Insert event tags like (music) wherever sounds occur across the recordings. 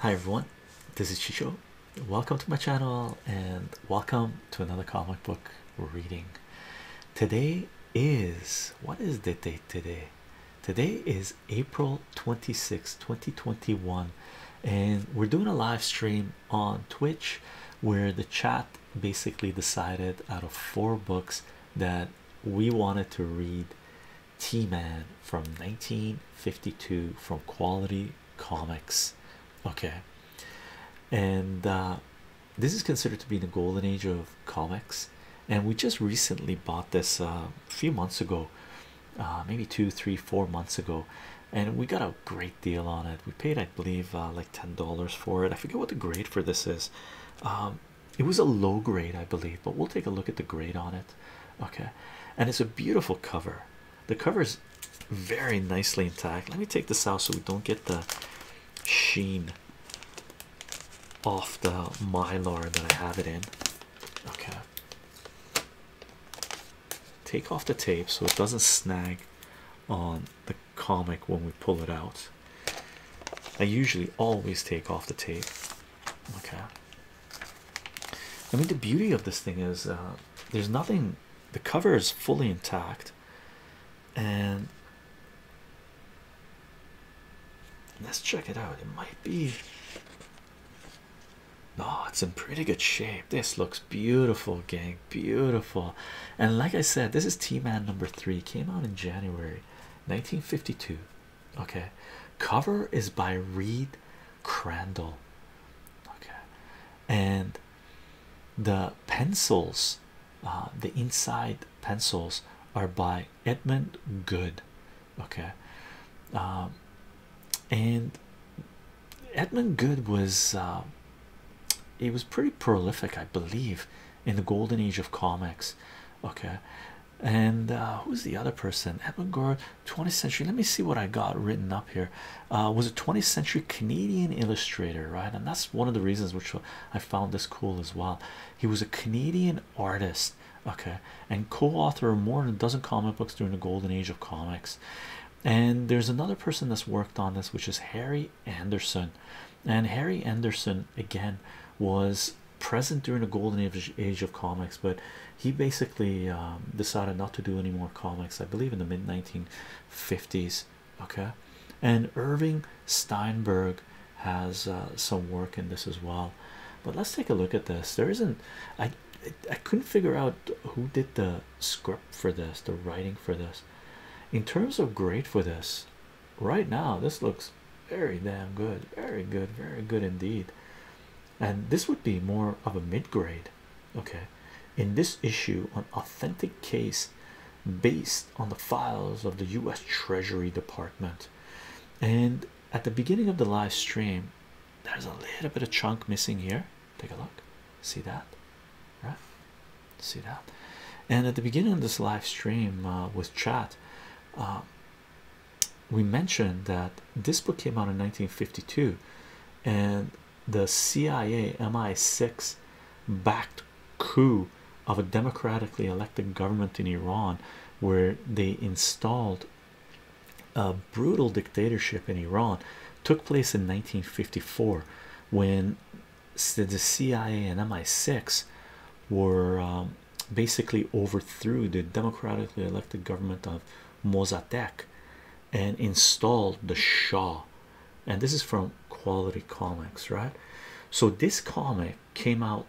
Hi everyone, this is Chicho. Welcome to my channel and welcome to another comic book reading. Today is what is the date today? Today is April twenty sixth, 2021, and we're doing a live stream on Twitch where the chat basically decided out of four books that we wanted to read T Man from 1952 from Quality Comics. Okay, and uh, this is considered to be the golden age of comics. And we just recently bought this uh, a few months ago, uh, maybe two, three, four months ago, and we got a great deal on it. We paid, I believe, like ten dollars for it. I forget what the grade for this is. Um, it was a low grade, I believe, but we'll take a look at the grade on it okay and it's a beautiful cover the cover is very nicely intact let me take this out so we don't get the sheen off the mylar that I have it in okay take off the tape so it doesn't snag on the comic when we pull it out I usually always take off the tape Okay. I mean, the beauty of this thing is uh, there's nothing, the cover is fully intact. And let's check it out. It might be. No, oh, it's in pretty good shape. This looks beautiful, gang. Beautiful. And like I said, this is T Man number three. Came out in January 1952 okay cover is by reed crandall okay and the pencils uh, the inside pencils are by edmund good okay um, and edmund good was uh, it was pretty prolific i believe in the golden age of comics okay and uh, who's the other person? Abangard, 20th century. Let me see what I got written up here. Uh, was a 20th century Canadian illustrator, right? And that's one of the reasons which I found this cool as well. He was a Canadian artist, okay, and co-author of more than a dozen comic books during the golden age of comics. And there's another person that's worked on this, which is Harry Anderson. And Harry Anderson again was present during the golden age, age of comics, but he basically um, decided not to do any more comics, I believe, in the mid 1950s. Okay, and Irving Steinberg has uh, some work in this as well. But let's take a look at this. There isn't, I, I couldn't figure out who did the script for this, the writing for this. In terms of grade for this, right now, this looks very damn good, very good, very good indeed and this would be more of a mid-grade okay in this issue an authentic case based on the files of the u.s treasury department and at the beginning of the live stream there's a little bit of chunk missing here take a look see that right see that and at the beginning of this live stream uh, with chat uh, we mentioned that this book came out in 1952 and the CIA MI6 backed coup of a democratically elected government in Iran where they installed a brutal dictatorship in Iran took place in 1954 when the CIA and MI6 were um, basically overthrew the democratically elected government of Mossadegh and installed the Shah. And this is from Quality Comics, right? So this comic came out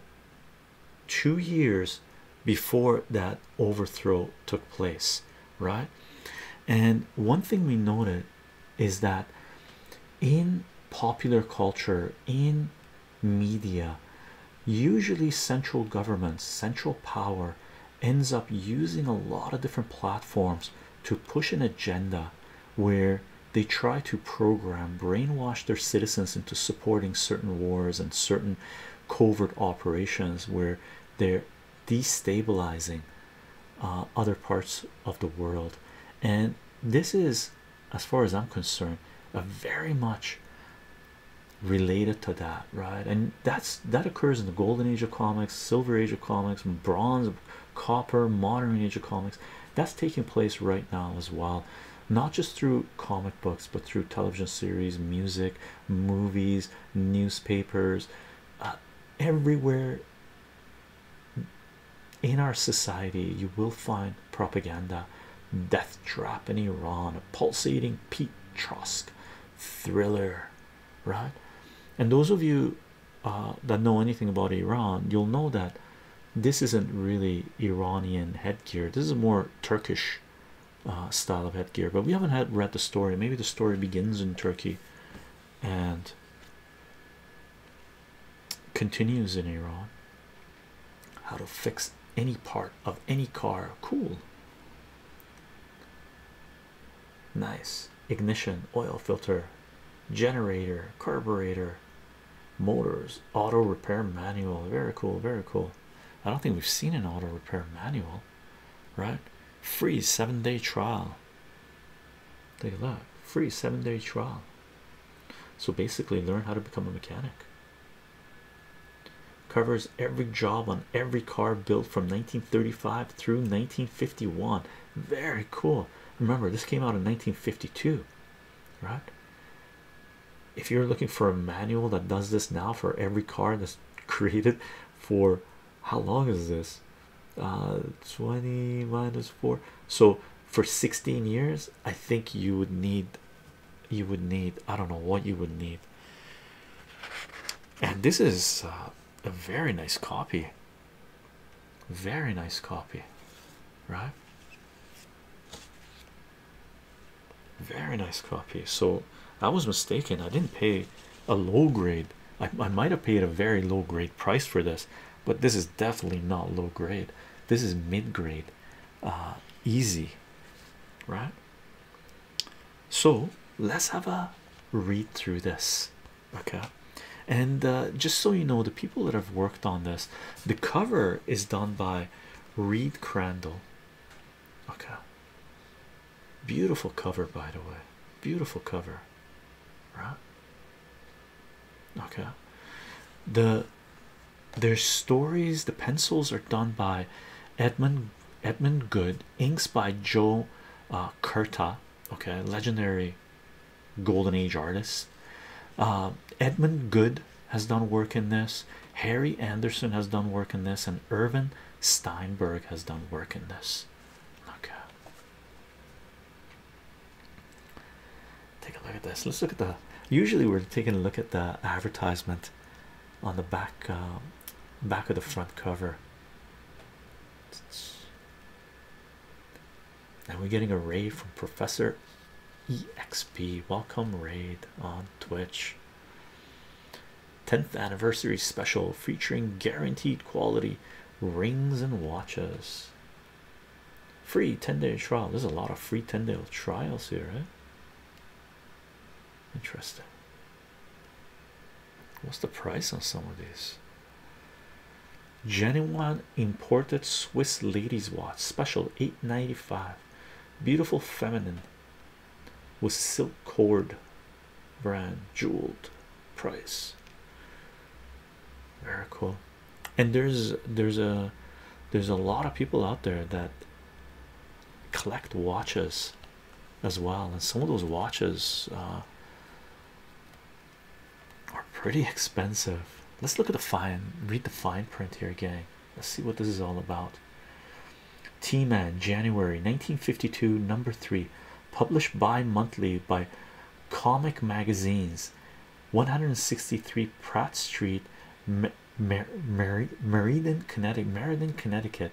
two years before that overthrow took place, right? And one thing we noted is that in popular culture, in media, usually central governments central power ends up using a lot of different platforms to push an agenda where they try to program brainwash their citizens into supporting certain wars and certain covert operations where they're destabilizing uh, other parts of the world and this is as far as i'm concerned a very much related to that right and that's that occurs in the golden age of comics silver age of comics bronze copper modern age of comics that's taking place right now as well not just through comic books but through television series music movies newspapers uh, everywhere in our society you will find propaganda Death Trap in Iran, a pulsating Pete Trosk thriller, right? And those of you uh, that know anything about Iran, you'll know that this isn't really Iranian headgear, this is more Turkish uh, style of headgear. But we haven't read the story, maybe the story begins in Turkey and continues in Iran. How to fix any part of any car. Cool. Nice. Ignition, oil filter, generator, carburetor, motors, auto repair manual. Very cool, very cool. I don't think we've seen an auto repair manual, right? Free seven day trial. Take a look. Free seven day trial. So basically, learn how to become a mechanic. Covers every job on every car built from 1935 through 1951. Very cool. Remember, this came out in 1952, right? If you're looking for a manual that does this now for every car that's (laughs) created for how long is this? Uh, 20 minus 4. So, for 16 years, I think you would need you would need i don't know what you would need and this is uh, a very nice copy very nice copy right very nice copy so i was mistaken i didn't pay a low grade i, I might have paid a very low grade price for this but this is definitely not low grade this is mid grade uh, easy right so let's have a read through this okay and uh, just so you know the people that have worked on this the cover is done by reed crandall okay beautiful cover by the way beautiful cover right okay the their stories the pencils are done by edmund Edmund Good, inks by Joe uh, okay, legendary golden age artist. Uh, Edmund Good has done work in this, Harry Anderson has done work in this, and Irvin Steinberg has done work in this. Okay, take a look at this. Let's look at the usually we're taking a look at the advertisement on the back. Uh, back of the front cover and we're getting a raid from professor exp welcome raid on twitch 10th anniversary special featuring guaranteed quality rings and watches free 10-day trial there's a lot of free 10-day trials here right eh? Interesting. What's the price on some of these? Genuine imported Swiss ladies watch special 895 beautiful feminine with silk cord brand jeweled price very cool and there's there's a there's a lot of people out there that collect watches as well and some of those watches uh, are pretty expensive let's look at the fine read the fine print here gang let's see what this is all about t-man january 1952 number three published bi-monthly by comic magazines 163 pratt street Mer Mer Connecticut, Marion, Connecticut,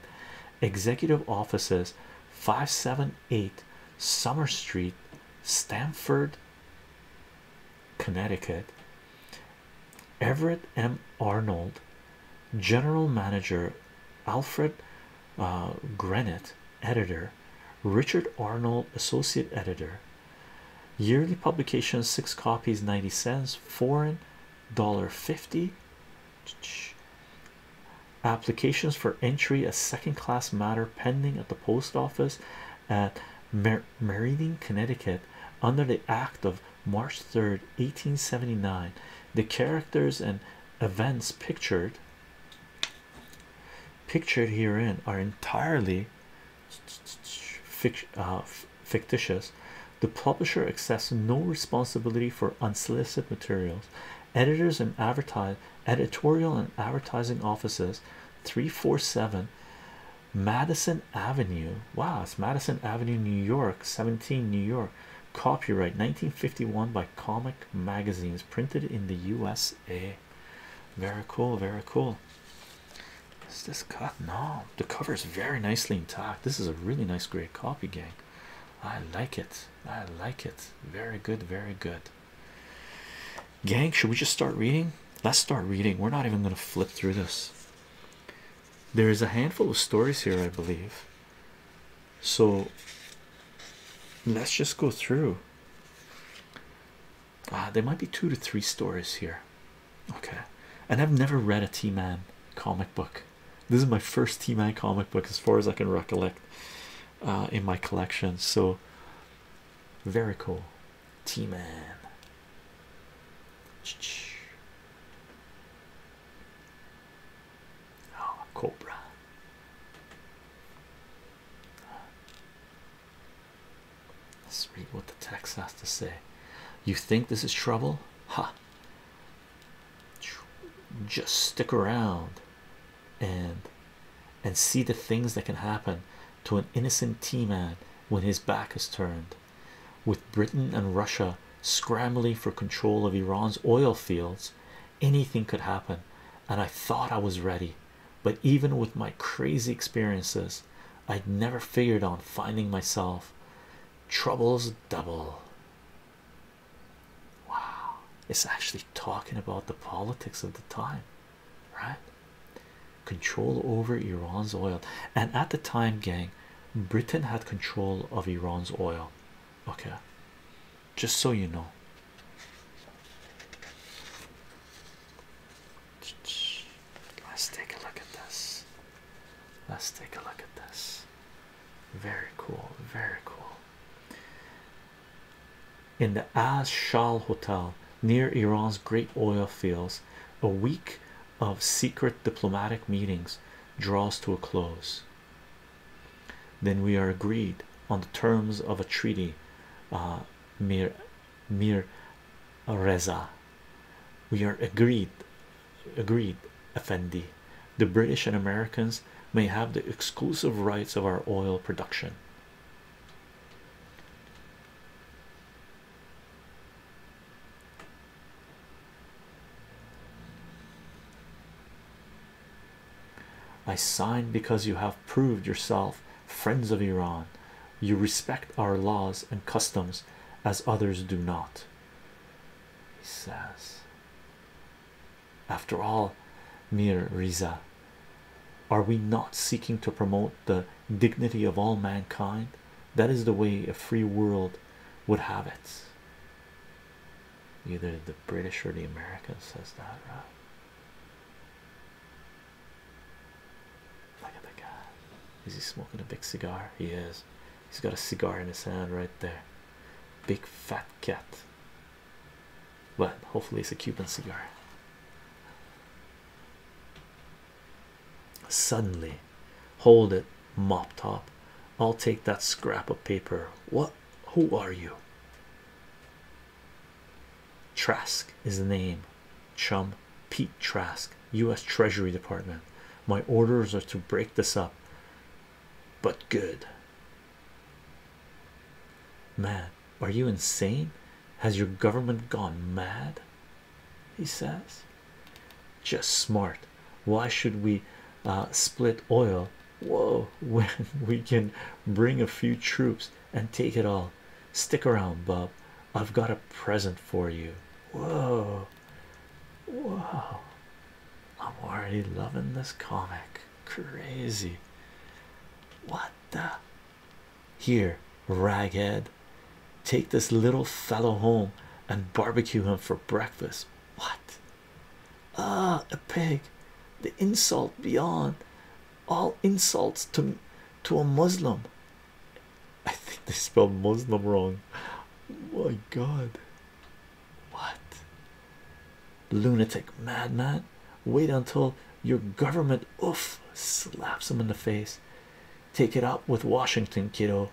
executive offices 578 Summer Street, Stamford, Connecticut. Everett M. Arnold, general manager, Alfred uh, Grenett, editor, Richard Arnold, associate editor. Yearly publication six copies, 90 cents, foreign dollar 50 applications for entry a second class matter pending at the post office at Mer Meridian, Connecticut under the act of March 3, 1879 the characters and events pictured pictured herein are entirely fiction uh, fictitious, the publisher accepts no responsibility for unsolicited materials. Editors and editorial and advertising offices 347 Madison Avenue. Wow, it's Madison Avenue, New York, 17 New York. Copyright 1951 by Comic Magazines, printed in the USA. Very cool, very cool. Is this cut? No, the cover is very nicely intact this is a really nice great copy gang i like it i like it very good very good gang should we just start reading let's start reading we're not even going to flip through this there is a handful of stories here i believe so let's just go through Ah, there might be two to three stories here Okay, and I've never read a T Man comic book. This is my first T Man comic book, as far as I can recollect, uh, in my collection. So, very cool. T Man. Oh, ah, Cobra. Let's read what the text has to say. You think this is trouble? Ha! just stick around and and see the things that can happen to an innocent t-man when his back is turned with britain and russia scrambling for control of iran's oil fields anything could happen and i thought i was ready but even with my crazy experiences i'd never figured on finding myself Troubles double. Wow, it's actually talking about the politics of the time, right? Control over Iran's oil, and at the time, gang, Britain had control of Iran's oil. Okay, just so you know. Let's take a look at this. Let's take a look at this. Very cool, very cool. In the Az Shal Hotel near Iran's great oil fields, a week of secret diplomatic meetings draws to a close. Then we are agreed on the terms of a treaty. Uh, Mir Mir Reza. We are agreed agreed effendi the british and americans may have the exclusive rights of our oil production I sign because you have proved yourself friends of Iran. You respect our laws and customs as others do not he says. After all, Mir Riza, are we not seeking to promote the dignity of all mankind? That is the way a free world would have it. Either the British or the Americans says that, right? Look at the guy. Is he smoking a big cigar? He is. He's got a cigar in his hand right there. Big fat cat. Well, hopefully, it's a Cuban cigar. Suddenly, hold it, mop top. I'll take that scrap of paper. What? Who are you? Trask is the name. Chum Pete Trask US Treasury Department. My orders are to break this up, but good. Man, are you insane? Has your government gone mad? He says, just smart. Why should we uh, split oil? Whoa, (laughs) when we can bring a few troops and take it all. Stick around, Bub. I've got a present for you. Whoa, Whoa! I'm already loving this comic. Crazy. What the? Here, raghead. Take this little fellow home and barbecue him for breakfast. What? Ah, a pig. The insult beyond all insults to to a Muslim. (laughs) I think they spelled Muslim wrong. my god, what lunatic madman! Wait until your government oof slaps him in the face. Take it up with Washington, kiddo,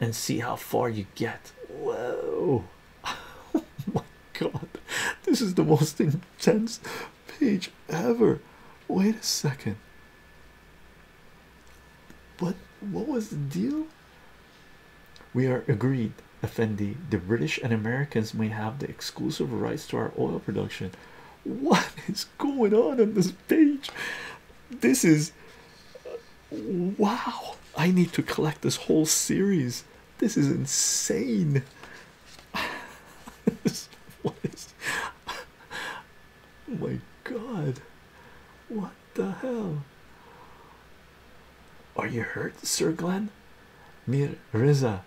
and see how far you get. Whoa, (laughs) my god, this is the most intense page ever. Wait a second. But what was the deal? We are agreed, Effendi. The British and Americans may have the exclusive rights to our oil production. What (laughs) is going on on this page? This is wow. I need to collect this whole series. This is insane. what (laughs) is (laughs) oh my god? What the hell? Are you hurt, Sir Glen? Mir Riza,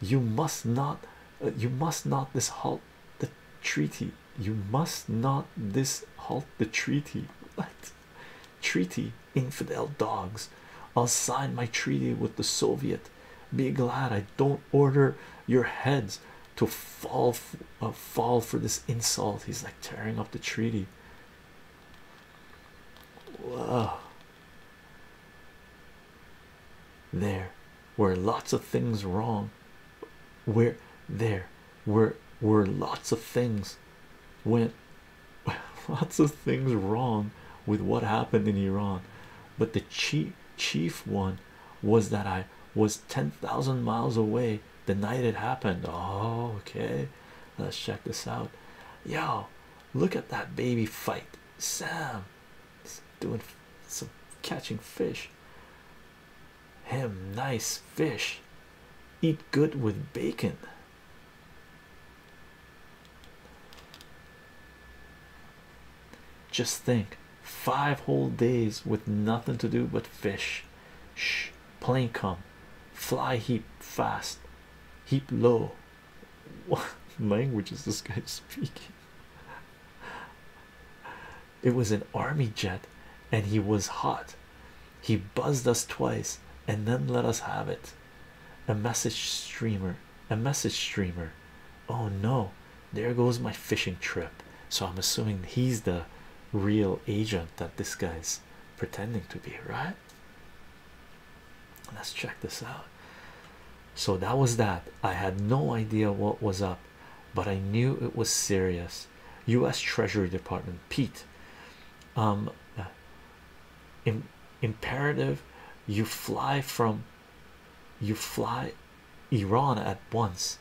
you must not, uh, you must not dishalt the treaty. You must not dishalt the treaty. What treaty? Infidel dogs. I'll sign my treaty with the Soviet. Be glad I don't order your heads to fall uh, fall for this insult. He's like tearing up the treaty. Wow. There were lots of things wrong. Where there were were lots of things went (laughs) lots of things wrong with what happened in Iran. But the chief chief one was that I was ten thousand miles away the night it happened. Oh, okay. Let's check this out. Yo, look at that baby fight. Sam is doing some catching fish. Him, nice fish. Eat good with bacon. Just think five whole days with nothing to do but fish. Shh, plane come fly heap fast, heap low. What language is this guy speaking? It was an army jet and he was hot. He buzzed us twice and then let us have it. A message streamer, a message streamer. Oh no, there goes my fishing trip. So I'm assuming he's the real agent that this guy's pretending to be, right? Let's check this out. So that was that. I had no idea what was up, but I knew it was serious. U.S. Treasury Department, Pete. Um, imperative, you fly from, you fly, Iran at once.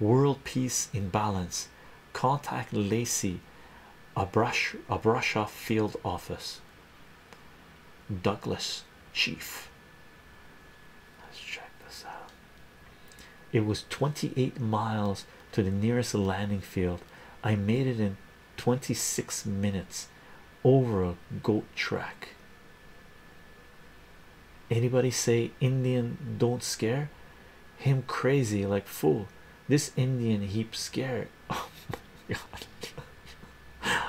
World peace in balance. Contact Lacey, a brush, a brush off field office. Douglas, chief. Let's check this out. It was 28 miles to the nearest landing field. I made it in 26 minutes over a goat track. Anybody say Indian don't scare? him crazy like fool this indian heap scared (laughs) oh my god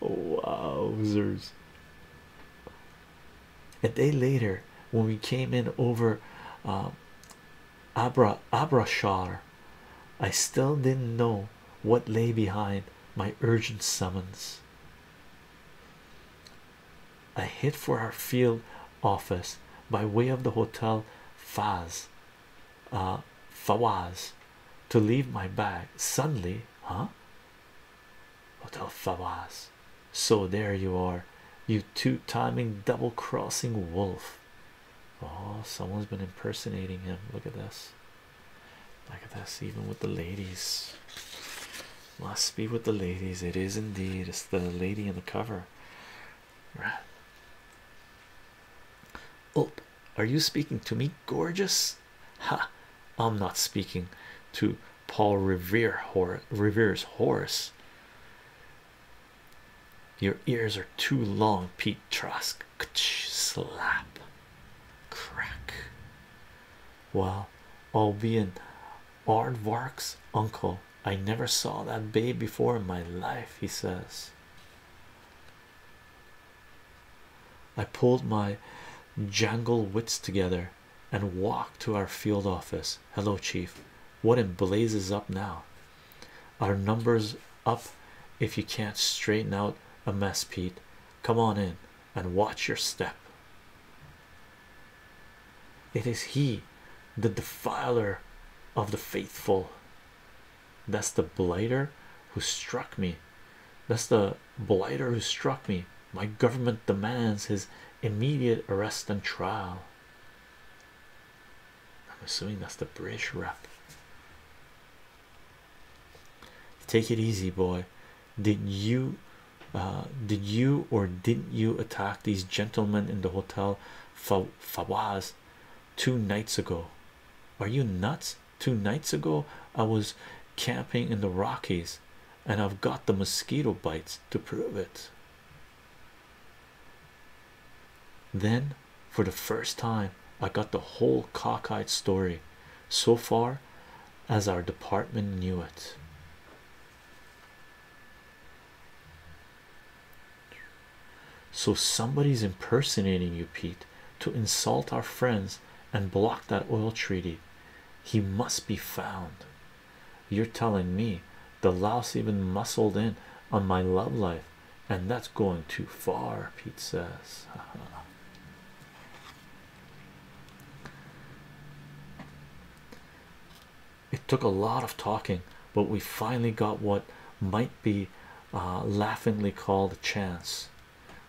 wowzers a day later when we came in over uh, abra abrashar i still didn't know what lay behind my urgent summons a hit for our field office by way of the hotel Faz uh, Fawaz to leave my bag suddenly, huh? Hotel Fawaz. So there you are, you two timing double crossing wolf. Oh, someone's been impersonating him. Look at this. Look at this, even with the ladies. Must be with the ladies. It is indeed. It's the lady in the cover. Right. Oh, are you speaking to me, gorgeous? Ha! I'm not speaking to Paul Revere Revere's horse. Your ears are too long, Pete Trask. Slap, crack. Well, I'll be in Aardvark's uncle. I never saw that babe before in my life, he says. I pulled my jangle wits together and walked to our field office. Hello, Chief. What in blazes up now? Our numbers up if you can't straighten out a mess, Pete. Come on in and watch your step. It is he, the defiler of the faithful. That's the blighter who struck me. That's the blighter who struck me. My government demands his immediate arrest and trial. I'm assuming that's the British rep. Take it easy, boy. Did you uh, did you or didn't you attack these gentlemen in the hotel Fa two nights ago? Are you nuts? Two nights ago, I was camping in the Rockies and I've got the mosquito bites to prove it. Then, for the first time, I got the whole cockeyed story so far as our department knew it. So somebody's impersonating you, Pete, to insult our friends and block that oil treaty. He must be found. You're telling me the louse even muscled in on my love life, and that's going too far, Pete says. (laughs) It took a lot of talking, but we finally got what might be uh, laughingly called a chance.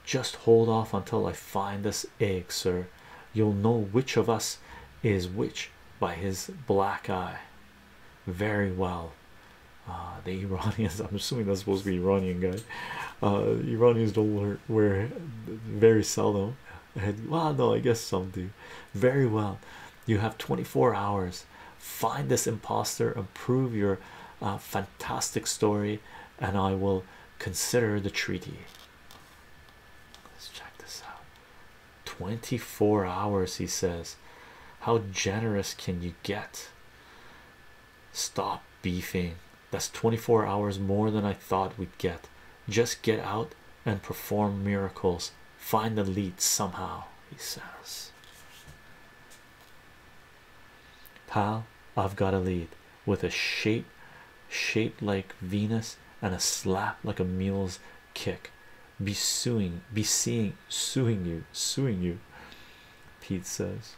Just hold off until I find this egg, sir. You'll know which of us is which by his black eye. Very well. Uh, the Iranians, (laughs) I'm assuming that's supposed to be Iranian guy. Uh, Iranians don't wear, wear very seldom well no i guess some very well you have 24 hours find this impostor and prove your uh, fantastic story and i will consider the treaty let's check this out 24 hours he says how generous can you get stop beefing that's 24 hours more than i thought we'd get just get out and perform miracles. Find the lead somehow, he says. Pal, I've got a lead with a shape, shape like Venus, and a slap like a mule's kick. Besuing, suing, be seeing, suing you, suing you. Pete says,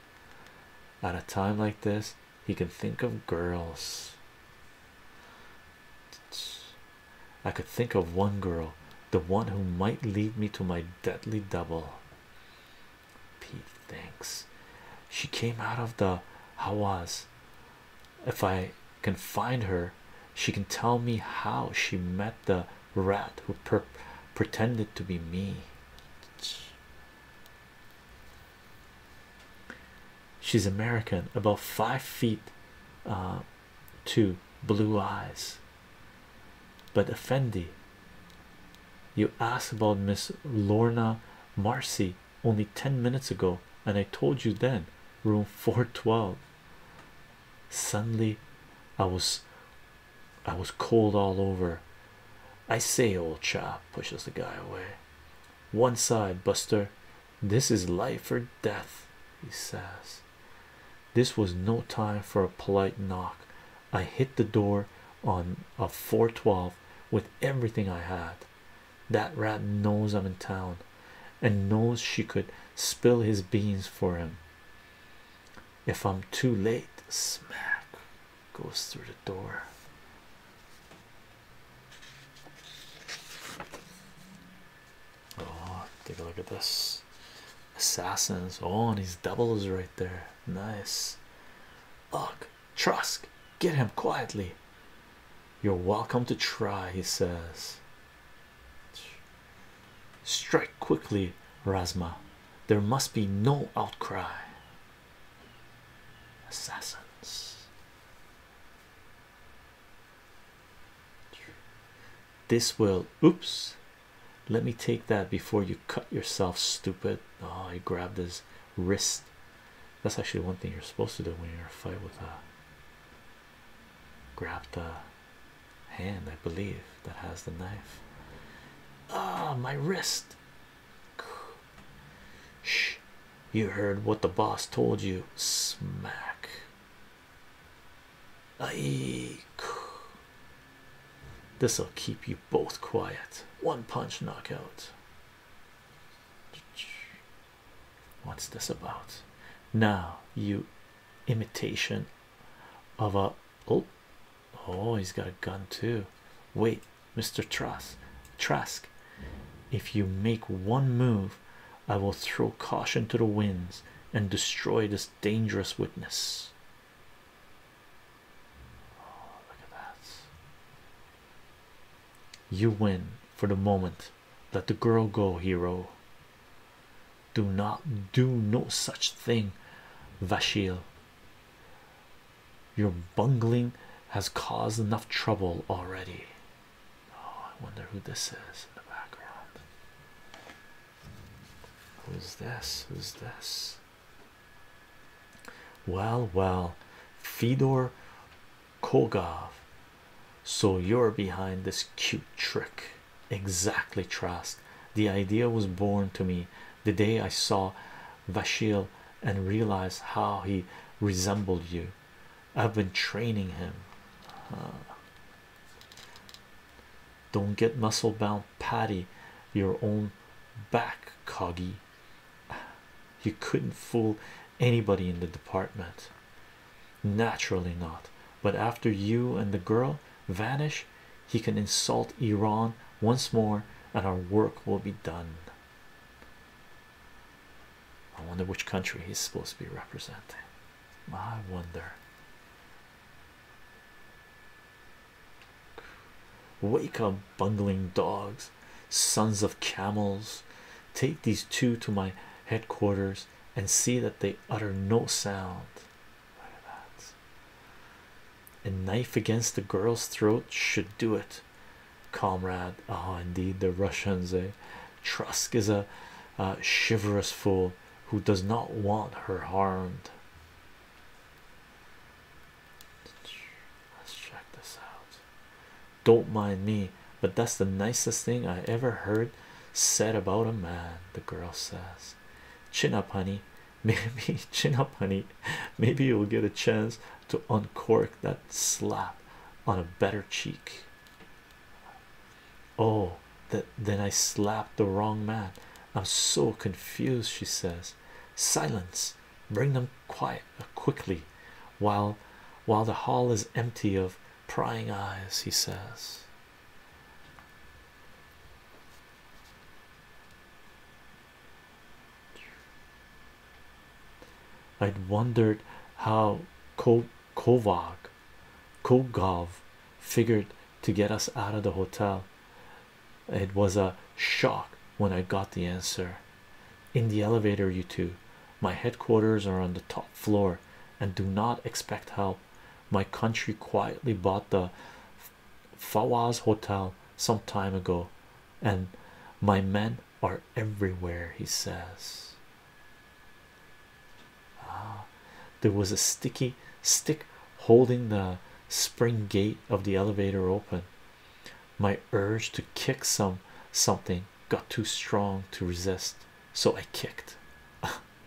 At a time like this, he can think of girls. I could think of one girl, the one who might lead me to my deadly double. Pete thinks she came out of the Hawas. If I can find her, she can tell me how she met the rat who pretended to be me. She's American, about five feet uh, two, blue eyes. But Effendi, you asked about Miss Lorna Marcy only 10 minutes ago, and I told you then, room 412. Suddenly, I was I was cold all over. I say, old chap pushes the guy away. One side, Buster, this is life or death, he says. This was no time for a polite knock. I hit the door on a 412 with everything I had. That rat knows I'm in town and knows she could spill his beans for him. If I'm too late, smack goes through the door. Oh, take a look at this. Assassins. Oh, and these doubles right there. Nice. Look, Trusk, get him quietly. You're welcome to try, he says. Strike quickly, Razma. There must be no outcry. Assassins. This will oops. Let me take that before you cut yourself, stupid. Oh, I grabbed his wrist. That's actually one thing you're supposed to do when you're in a fight with a grab the hand, I believe, that has the knife. Ah, my wrist. Shh, you heard what the boss told you. Smack. Aye. This'll keep you both quiet. One punch knockout. What's this about? Now, you imitation of a oh, oh, he's got a gun too. Wait, Mr. Trask, Trask, if you make one move, I will throw caution to the winds and destroy this dangerous witness. Oh, look at that. You win for the moment. Let the girl go, hero. Do not do no such thing, Vashil. Your bungling has caused enough trouble already. Oh, I wonder who this is in the background. Who's this? Who's this? Well, well, Fedor Kogov. So you're behind this cute trick. Exactly, Trask. The idea was born to me the day I saw Vashil and realized how he resembled you. I've been training him. Uh, don't get muscle bound, Patty. Your own back, Coggy. You couldn't fool anybody in the department. Naturally not. But after you and the girl vanish, he can insult Iran once more, and our work will be done. I wonder which country he's supposed to be representing. I wonder. Wake up, bungling dogs, sons of camels. Take these two to my headquarters and see that they utter no sound. Look at that. A knife against the girl's throat should do it comrade. Ah, indeed, the Russians, eh? Trusk is a uh, chivalrous fool who does not want her harmed. Let's check this out. Don't mind me, but that's the nicest thing I ever heard said about a man. The girl says, Chin up, honey. (laughs) Maybe, chin up, honey. Maybe you'll get a chance to uncork that slap on a better cheek. Oh, that then I slapped the wrong man. I'm so confused, she says. Silence, bring them quiet uh, quickly while while the hall is empty of prying eyes, he says. I'd wondered how Ko Kovag figured to get us out of the hotel. It was a shock when I got the answer. In the elevator, you two. My headquarters are on the top floor and do not expect help. My country quietly bought the Fawaz Hotel some time ago, and my men are everywhere, he says. Ah, there was a sticky stick holding the spring gate of the elevator open. My urge to kick some something got too strong to resist, so I kicked.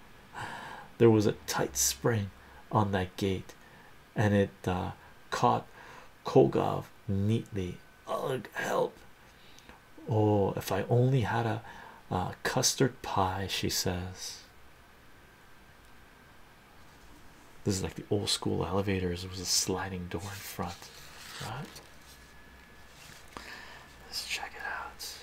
(laughs) there was a tight spring on that gate, and it uh, caught Kogov neatly Ugh, help! Oh, if I only had a custard pie, she says. This is like the old school elevators, it was a sliding door in front, right? Let's check it out.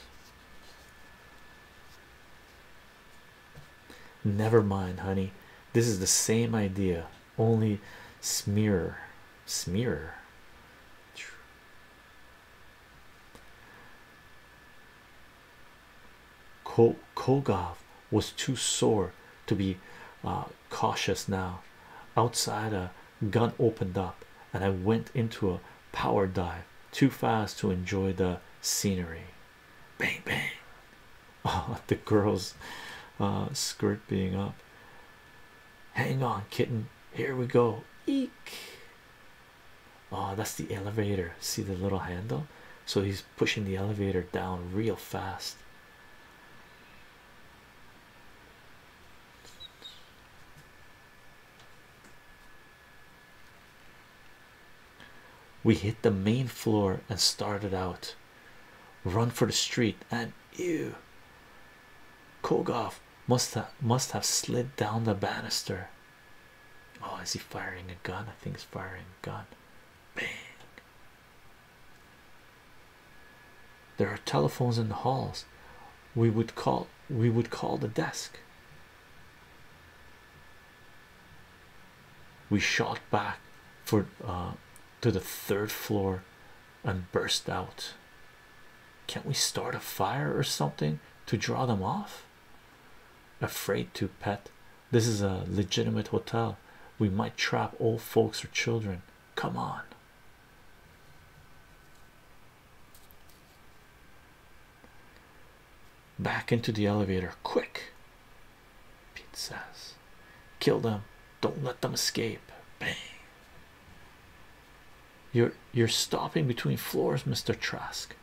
Never mind, honey. This is the same idea only smear smear Kogov was too sore to be uh, cautious now. Outside, a gun opened up, and I went into a power dive too fast to enjoy the scenery. Bang, bang! (laughs) the girl's uh, skirt being up. Hang on, kitten. Here we go. Eek. Oh, that's the elevator. See the little handle? So he's pushing the elevator down real fast. We hit the main floor and started out. Run for the street and you, Kogov must have must have slid down the banister. Oh, is he firing a gun? I think he's firing a gun. Bang. There are telephones in the halls. We would call we would call the desk. We shot back for uh, to the third floor and burst out. Can't we start a fire or something to draw them off? Afraid to, pet. This is a legitimate hotel. We might trap old folks or children. Come on. Back into the elevator, quick. Pete says, Kill them, don't let them escape. Bang. You're you're stopping between floors, Mr. Trask.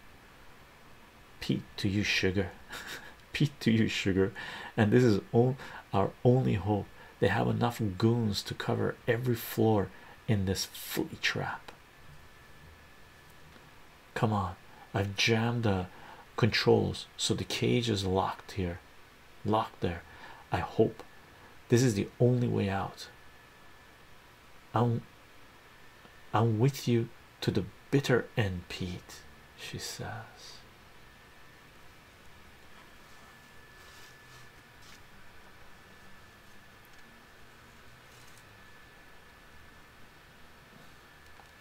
Pete to you, sugar. (laughs) Pete to you, sugar. And this is all our only hope. They have enough goons to cover every floor in this flea trap. Come on, I've jammed the controls so the cage is locked here locked there. I hope this is the only way out. I'm I'm with you to the bitter end, Pete, she says.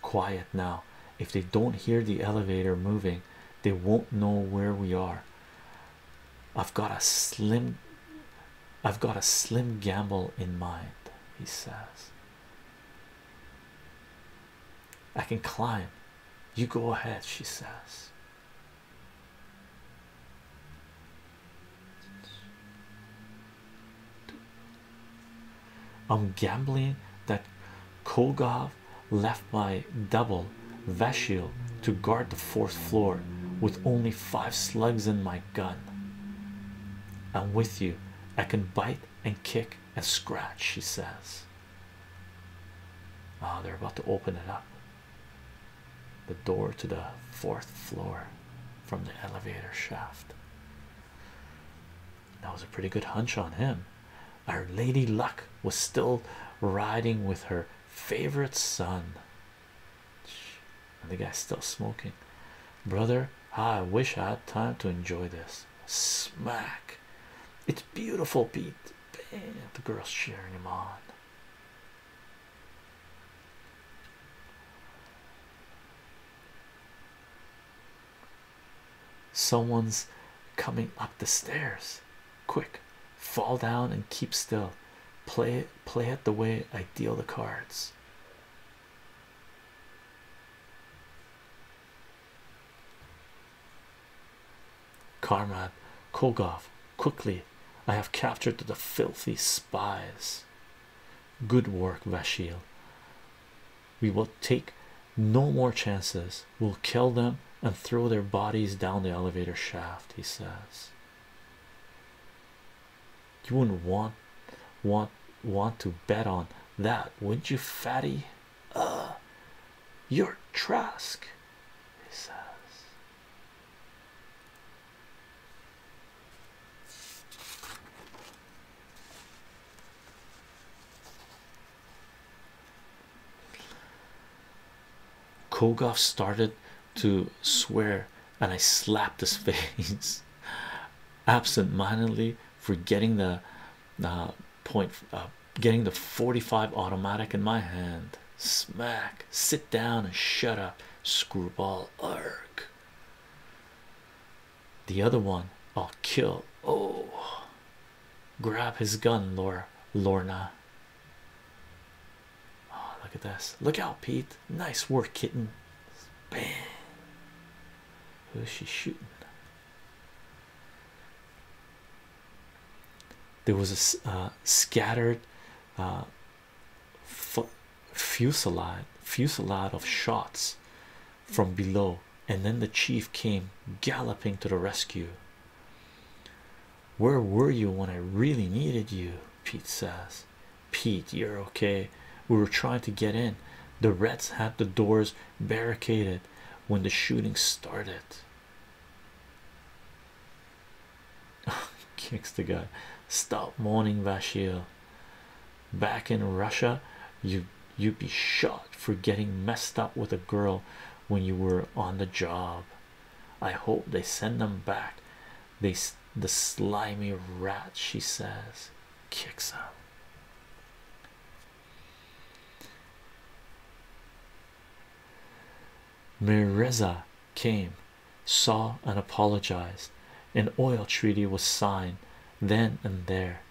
Quiet now. If they don't hear the elevator moving, they won't know where we are. I've got a slim I've got a slim gamble in mind, he says. I can climb. You go ahead, she says. I'm gambling that Kogov left by double Vashil to guard the fourth floor with only five slugs in my gun. I'm with you. I can bite and kick and scratch, she says. Ah, they're about to open it up. The door to the fourth floor from the elevator shaft. That was a pretty good hunch on him. Our lady luck was still riding with her favorite son. And the guy's still smoking. Brother, I wish I had time to enjoy this. Smack. It's beautiful, Pete. The girl's cheering him on. Someone's coming up the stairs quick fall down and keep still play play it the way i deal the cards Karmat Kogov quickly I have captured the filthy spies good work Vashil we will take no more chances we'll kill them and throw their bodies down the elevator shaft he says you wouldn't want want want to bet on that wouldn't you fatty uh you're trask he says Kogov started to swear, and I slapped his (laughs) face absent-mindedly for the uh, point, uh, getting the 45 automatic in my hand. Smack, sit down, and shut up, screwball. Arg. The other one, I'll kill. Oh, grab his gun, Laura Lorna. Oh, look at this. Look out, Pete. Nice work, kitten. Bam. Who is she shooting? There was a uh, scattered uh, fusillade, fusilade, of shots from below, and then the chief came galloping to the rescue. Where were you when I really needed you? Pete says, Pete, you're okay. We were trying to get in. The Reds had the doors barricaded when the shooting started. Kicks (laughs) the guy. Stop mourning, Vashil. Back in Russia, you you'd be shot for getting messed up with a girl when you were on the job. I hope they send them back. They the slimy rat, she says, kicks up. Mirza came, saw, and apologized. An oil treaty was signed then and there.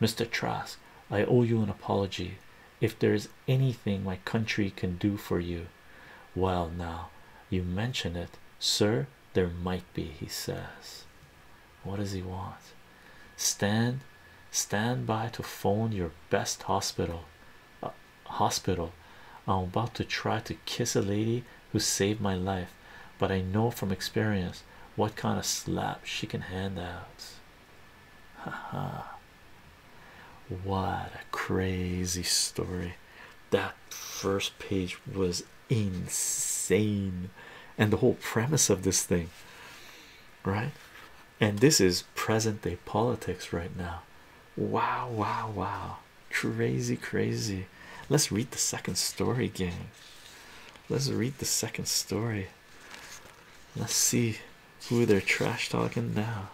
Mr. Trask, I owe you an apology. If there is anything my country can do for you, well, now you mention it, sir, there might be, he says. What does he want? Stand, stand by to phone your best hospital. Uh, hospital, I'm about to try to kiss a lady who saved my life, but I know from experience what kind of slap she can hand out. Ha ha. What a crazy story! That first page was insane, and the whole premise of this thing, right? And this is present day politics right now. Wow, wow, wow! Crazy, crazy. Let's read the second story, gang. Let's read the second story. Let's see who they're trash talking now.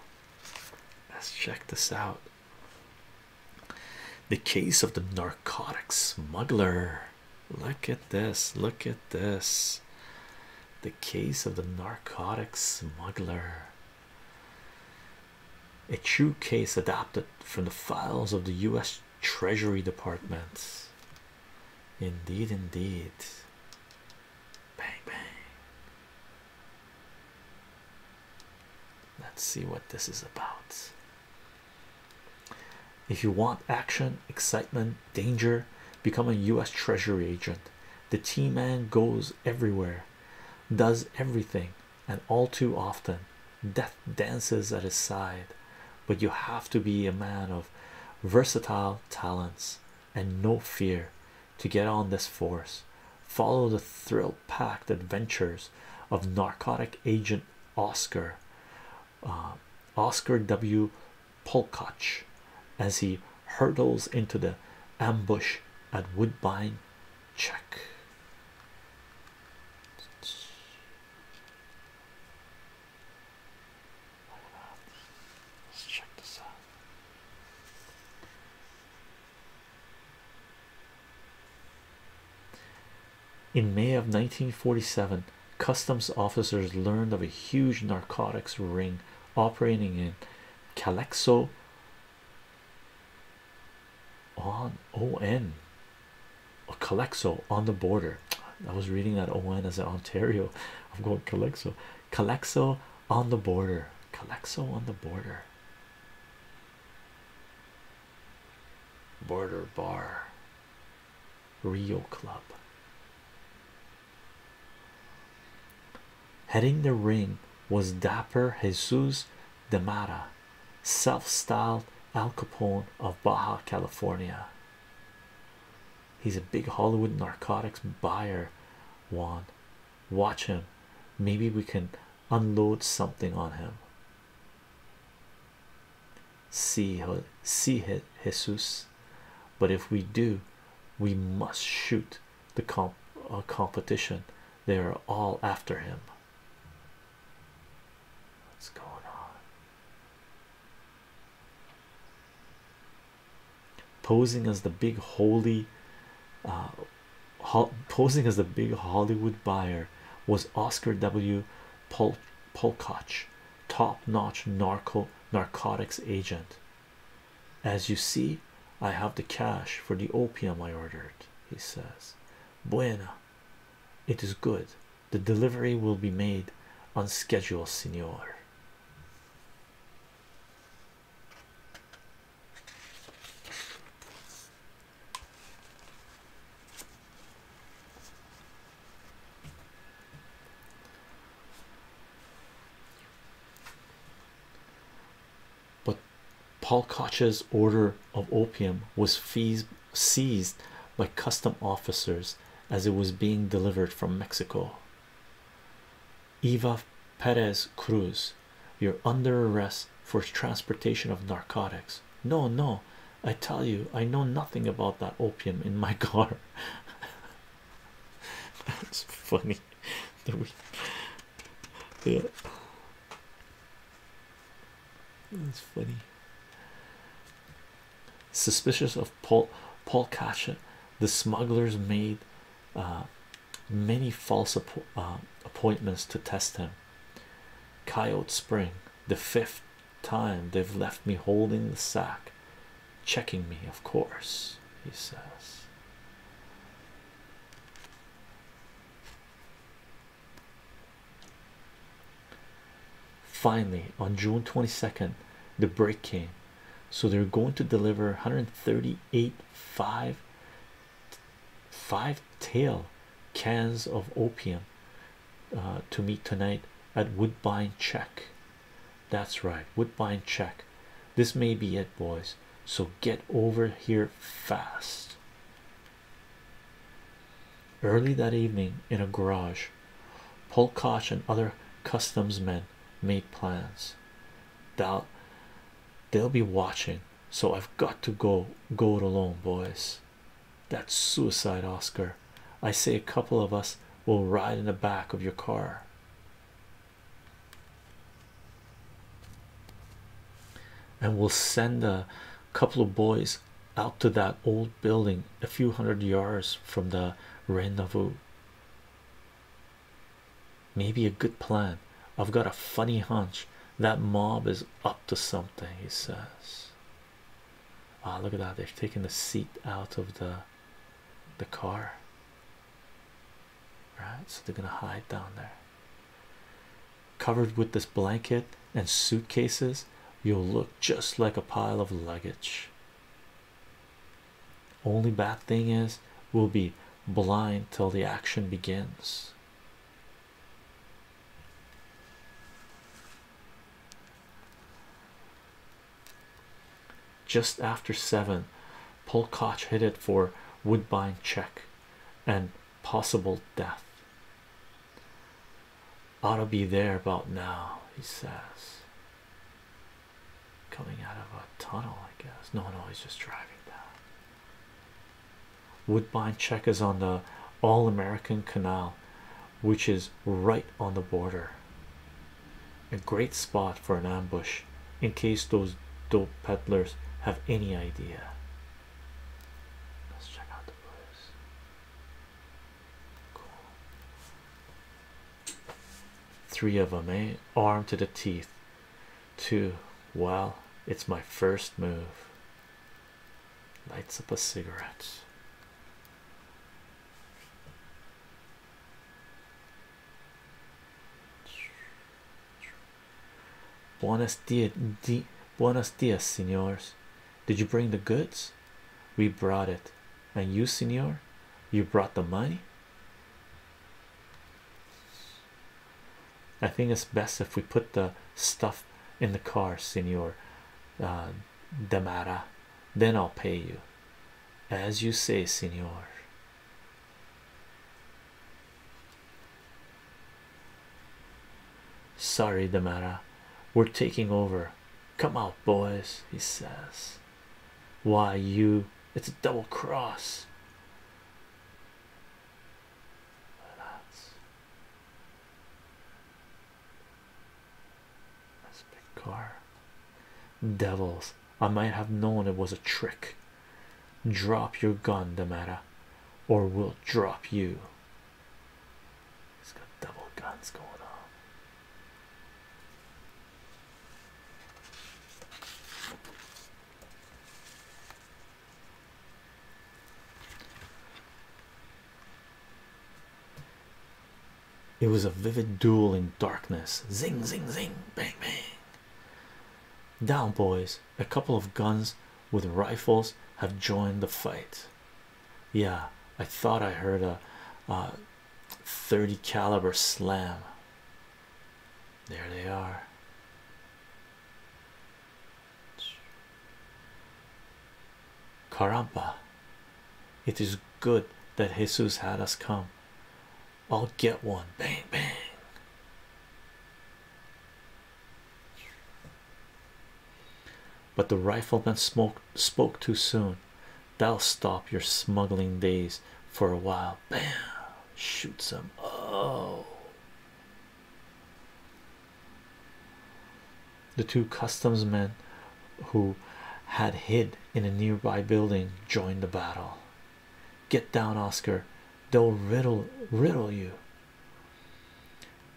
Let's check this out. The case of the narcotic smuggler. Look at this. Look at this. The case of the narcotic smuggler. A true case adapted from the files of the U.S. Treasury Department. Indeed, indeed. Bang bang. Let's see what this is about. If you want action, excitement, danger, become a US Treasury agent. The T man goes everywhere, does everything, and all too often death dances at his side. But you have to be a man of versatile talents and no fear to get on this force. Follow the thrill packed adventures of narcotic agent Oscar uh, Oscar W. Polkoch as he hurtles into the ambush at Woodbine. Check. In May of 1947, customs officers learned of a huge narcotics ring operating in Calexo on on or Calexo on the border. I was reading that on as an Ontario. I'm going Calexo Calexo on the border. Calexo on the border. Border Bar. Rio Club. Heading the ring was Dapper Jesus de Mata, self styled Al Capone of Baja California. He's a big Hollywood narcotics buyer, Juan Watch him. Maybe we can unload something on him. See, see hit Jesus. But if we do, we must shoot the comp uh, competition. They are all after him. What's going on? posing as the big holy uh, posing as the big Hollywood buyer was Oscar W. Pol Polkoch, top-notch narco narcotics agent. As you see, I have the cash for the opium I ordered, he says. Buena, it is good. The delivery will be made on schedule, senor. But Paul Koch's order of opium was seized by custom officers as it was being delivered from Mexico. Eva Perez Cruz, you're under arrest for transportation of narcotics. No, no, I tell you, I know nothing about that opium in my (laughs) car. That's funny. (laughs) yeah. That's funny. Suspicious of Paul Paul Kasha, the smugglers made uh, many false uh, appointments to test him. Coyote Spring, the fifth time they've left me holding the sack, checking me, of course, he says. Finally, on June 22nd, the break came so they're going to deliver 138 five five tail cans of opium uh, to me tonight at Woodbine check that's right Woodbine check this may be it boys so get over here fast early that evening in a garage Polkoch and other customs men made plans Dal they'll be watching so i've got to go go it alone boys that's suicide oscar i say a couple of us will ride in the back of your car and we'll send a couple of boys out to that old building a few hundred yards from the rendezvous Maybe a good plan. I've got a funny hunch that mob is up to something, he says. Ah, oh, look at that. they are taking the seat out of the the car. Right, so they're gonna hide down there. Covered with this blanket and suitcases, you'll look just like a pile of luggage. Only bad thing is we'll be blind till the action begins. Just after seven, Polkoch hit it for Woodbine check and possible death. Ought to be there about now, he says. Coming out of a tunnel, I guess. No, no, he's just driving down. Woodbine check is on the All American Canal, which is right on the border. A great spot for an ambush, in case those dope peddlers have any idea. Let's check out the place. Cool. Three of them, eh? Armed to the teeth to well, it's my first move. Lights up a cigarette. Buenos dias, di buenos dias, senors. Did you bring the goods? We brought it. And you, senor, you brought the money? I think it's best if we put the stuff in the car, Senor uh, Damara. Then I'll pay you. As you say, Senor. Sorry, Damara. We're taking over. Come out, boys, he says. Why, you, it's a double cross. Look That's a Devils, I might have known it was a trick. Drop your gun, Damara, or we'll drop you. He's got double guns going on. It was a vivid duel in darkness. Zing, zing, zing, bang, bang. Down, boys. A couple of guns with rifles have joined the fight. Yeah, I thought I heard a uh, 30 caliber slam. There they are. Karamba! it is good that Jesus had us come. I'll get one. Bang, bang. But the rifleman spoke too soon. That'll stop your smuggling days for a while. Bam shoots him. Oh. The two customs men who had hid in a nearby building joined the battle. Get down, Oscar. They'll riddle riddle you.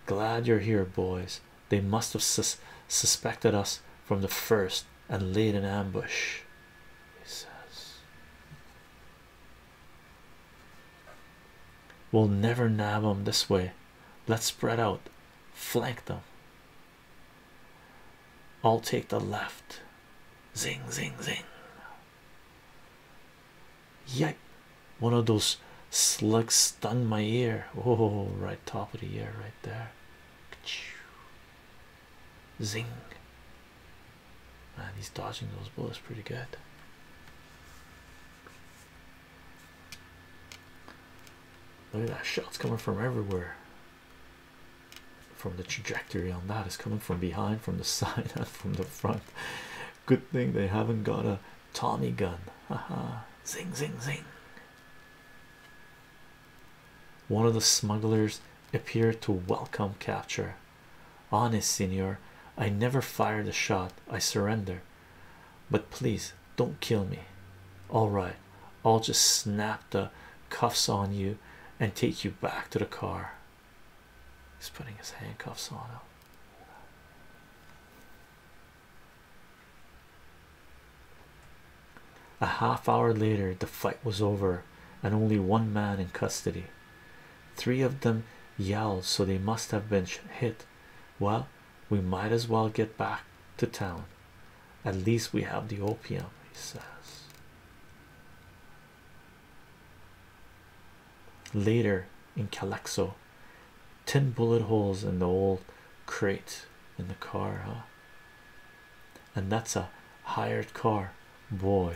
Glad you're here, boys. They must have sus suspected us from the first and laid an ambush. He says, We'll never nab them this way. Let's spread out, flank them. I'll take the left. Zing, zing, zing. Yike. One of those slugs stung my ear. Oh, right top of the ear, right there. Zing. Man, he's dodging those bullets pretty good. Look at that shots coming from everywhere. From the trajectory on that is coming from behind, from the (laughs) side, and from the front. Good thing they haven't got a Tommy gun. Haha. zing zing zing. One of the smugglers appeared to welcome capture. Honest, senor, I never fired a shot. I surrender. But please don't kill me. All right, I'll just snap the cuffs on you and take you back to the car. He's putting his handcuffs on him. A half hour later, the fight was over, and only one man in custody. Three of them yelled, so they must have been hit. Well, we might as well get back to town. At least we have the opium, he says. Later in Calexo, ten bullet holes in the old crate in the car, and that's a hired car boy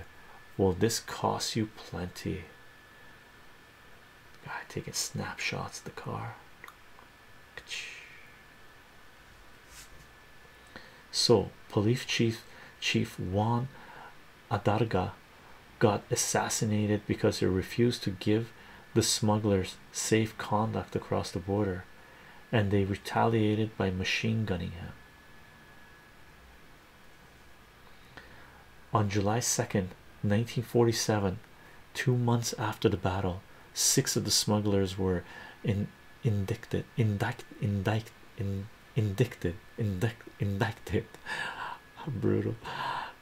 will this cost you plenty guy taking snapshots of the car so police chief chief Juan Adarga got assassinated because he refused to give the smugglers safe conduct across the border and they retaliated by machine gunning him on July 2nd, 1947, two months after the battle, six of the smugglers were in, indicted, indict, indict, indicted, indicted. (laughs) Brutal.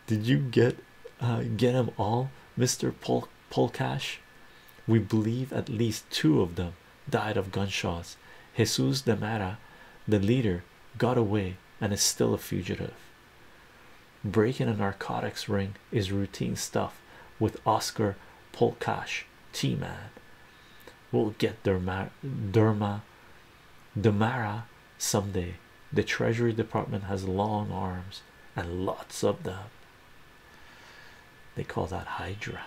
Did you get uh, get them all, Mr. Polkash? We believe at least two of them died of gunshots. Jesus de Mara, the leader, got away and is still a fugitive. Breaking a narcotics ring is routine stuff with Oscar Polkash, T Man. We'll get Derma, Derma, Demara someday. The Treasury Department has long arms and lots of them. They call that Hydra.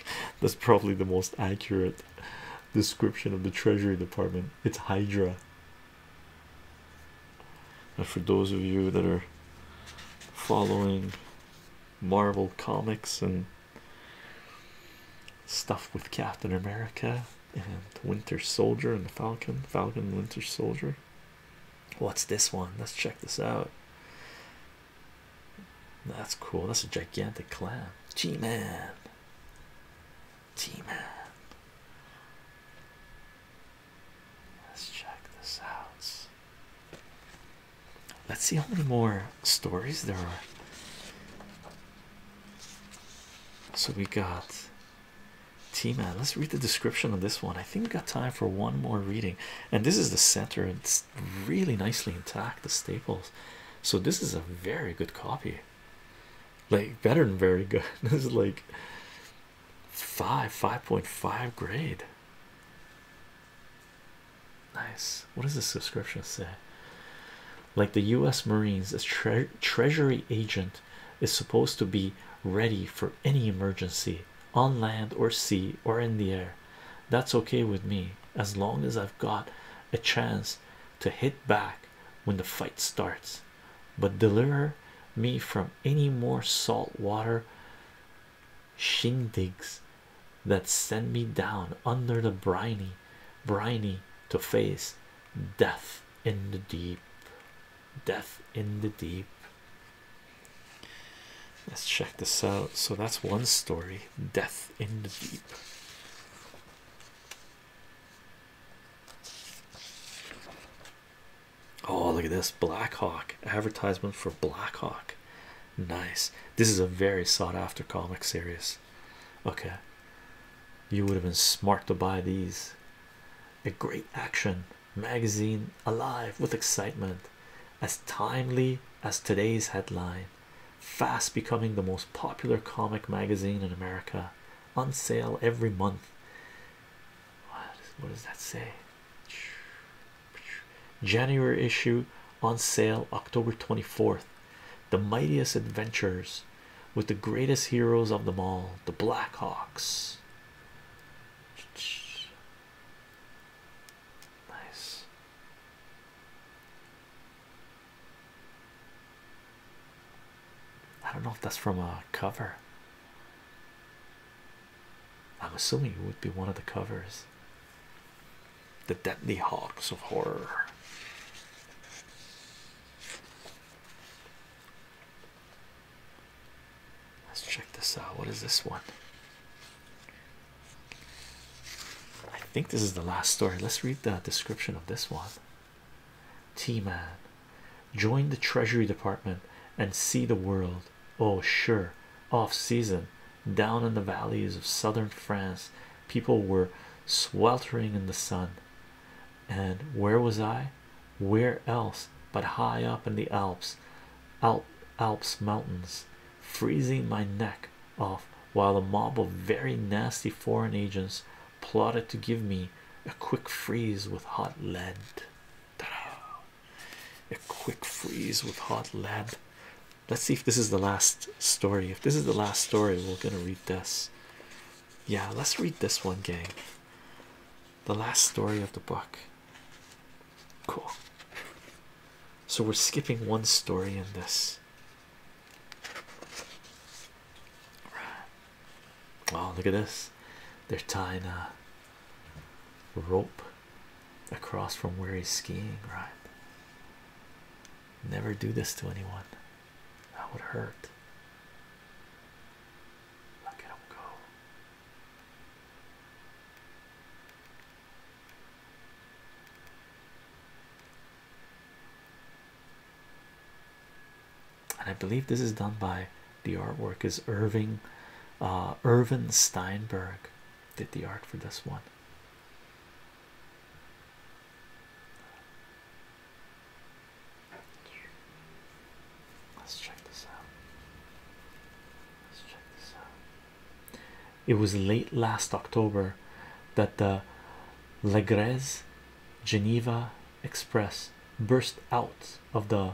(laughs) That's probably the most accurate description of the Treasury Department. It's Hydra. And for those of you that are following Marvel comics and stuff with Captain America and Winter Soldier and the Falcon, Falcon Winter Soldier, What's this one? Let's check this out. That's cool. That's a gigantic clam. T Man. T Man. Let's check this out. Let's see how many more stories there are. So we got T Man. Let's read the description of this one. I think we got time for one more reading and this is the center it's really nicely intact the staples so this is a very good copy like better than very good (laughs) this is like 5 5.5 grade nice what does the subscription say like the u.s marines a tre treasury agent is supposed to be ready for any emergency on land or sea or in the air. That's okay with me as long as I've got a chance to hit back when the fight starts. But deliver me from any more salt water shindigs that send me down under the briny, briny to face death in the deep, death in the deep. Let's check this out. So that's one story Death in the Deep. Oh, look at this Black Hawk advertisement for Black Hawk. Nice. This is a very sought after comic series. Okay, you would have been smart to buy these. A great action magazine alive with excitement, as timely as today's headline, fast becoming the most popular comic magazine in America, on sale every month. What, is, what does that say? January issue on sale October 24th. The mightiest adventures with the greatest heroes of them all, the Blackhawks. Nice. I don't know if that's from a cover. I'm assuming it would be one of the covers. The Deadly Hawks of Horror. Let's check this out. What is this one? I think this is the last story. Let's read the description of this one. T Man join the Treasury Department and see the world. Oh, sure, off season down in the valleys of southern France, people were sweltering in the sun. And where was I? Where else but high up in the Alps, Alps mountains, freezing my neck off while a mob of very nasty foreign agents plotted to give me a quick freeze with hot lead. A quick freeze with hot lead. Let's see if this is the last story. If this is the last story, we're gonna read this. Yeah, let's read this one, gang. The last story of the book. Cool. So we're skipping one story in this. Wow, look at this. They're tying a rope across from where he's skiing, right? Never do this to anyone. That would hurt. Look at him go. And I believe this is done by the artwork is Irving uh Irvin Steinberg did the art for this one. Let's check this out. Let's check this out. It was late last October that the Legrez Geneva Express burst out of the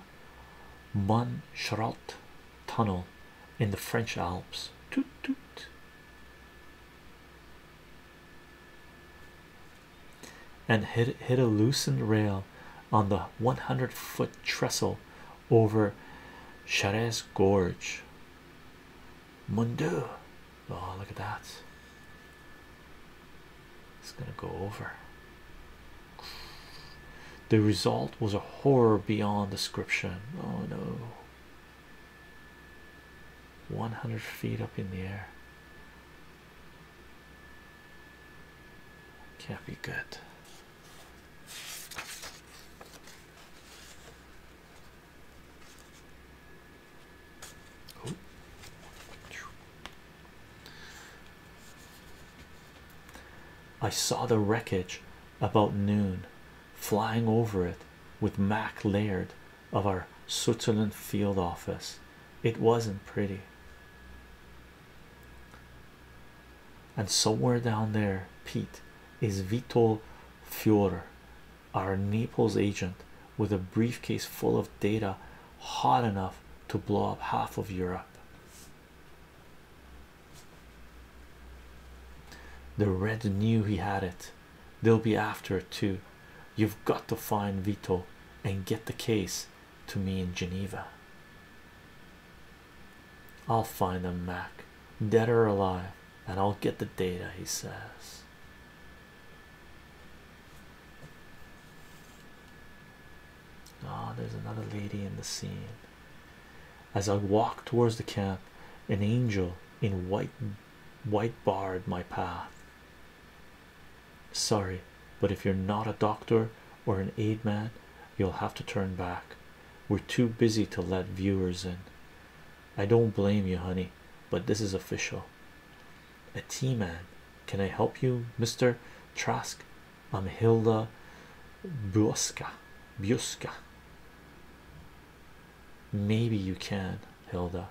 Montchartrain tunnel in the French Alps. Toot, toot. And hit a loosened rail on the 100 foot trestle over Charez Gorge. Mundu. Oh, look at that. It's gonna go over. The result was a horror beyond description. Oh no. 100 feet up in the air. Can't be good. I saw the wreckage about noon flying over it with Mac Laird of our Switzerland field office. It wasn't pretty. And somewhere down there, Pete is Vito Fiore, our Naples agent, with a briefcase full of data hot enough to blow up half of Europe. The Red knew he had it, they'll be after it too. You've got to find Vito and get the case to me in Geneva. I'll find them, Mac, dead or alive, and I'll get the data, he says. Ah, there's another lady in the scene. As I walked towards the camp, an angel in white white barred my path. Sorry, but if you're not a doctor or an aid man, you'll have to turn back. We're too busy to let viewers in. I don't blame you, honey, but this is official. A tea man, can I help you, Mr. Trask? I'm Hilda Buska. Buska. Maybe you can, Hilda.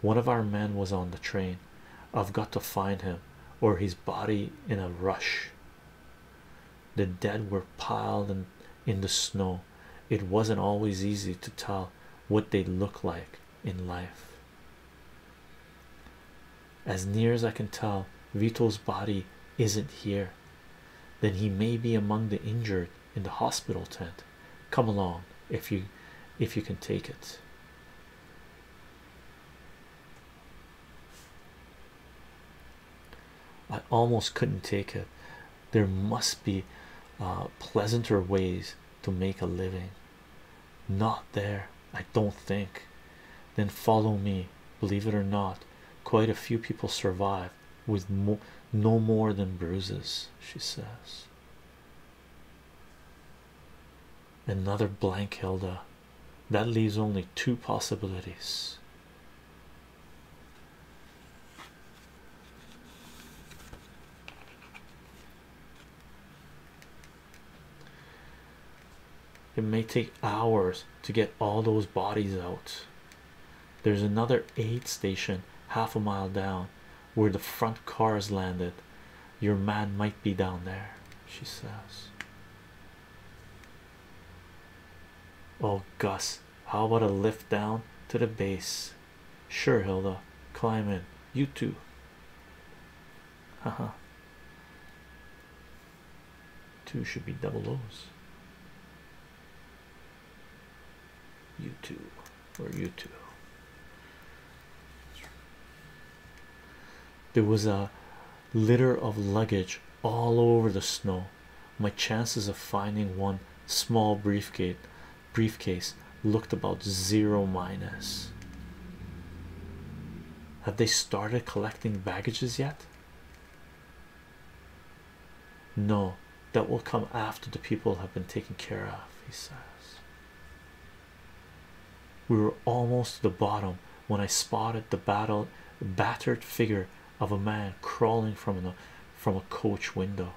One of our men was on the train. I've got to find him or his body in a rush. The dead were piled in, the snow. It wasn't always easy to tell what they look like in life. As near as I can tell, Vito's body isn't here. Then he may be among the injured in the hospital tent. Come along if you if you can take it. I almost couldn't take it. There must be uh, pleasanter ways to make a living. Not there, I don't think. Then follow me. Believe it or not, quite a few people survive with no more than bruises, she says. Another blank Hilda that leaves only two possibilities it may take hours to get all those bodies out there's another aid station half a mile down where the front cars landed your man might be down there she says Oh, Gus, how about a lift down to the base? Sure, Hilda, climb in. You too. Ha uh-huh. ha. Two should be double O's. You two, or you two. There was a litter of luggage all over the snow. My chances of finding one small briefcase looked about zero minus. Have they started collecting baggages yet? No, that will come after the people have been taken care of, he says. We were almost to the bottom when I spotted the battle battered figure of a man crawling from a uh, from a coach window.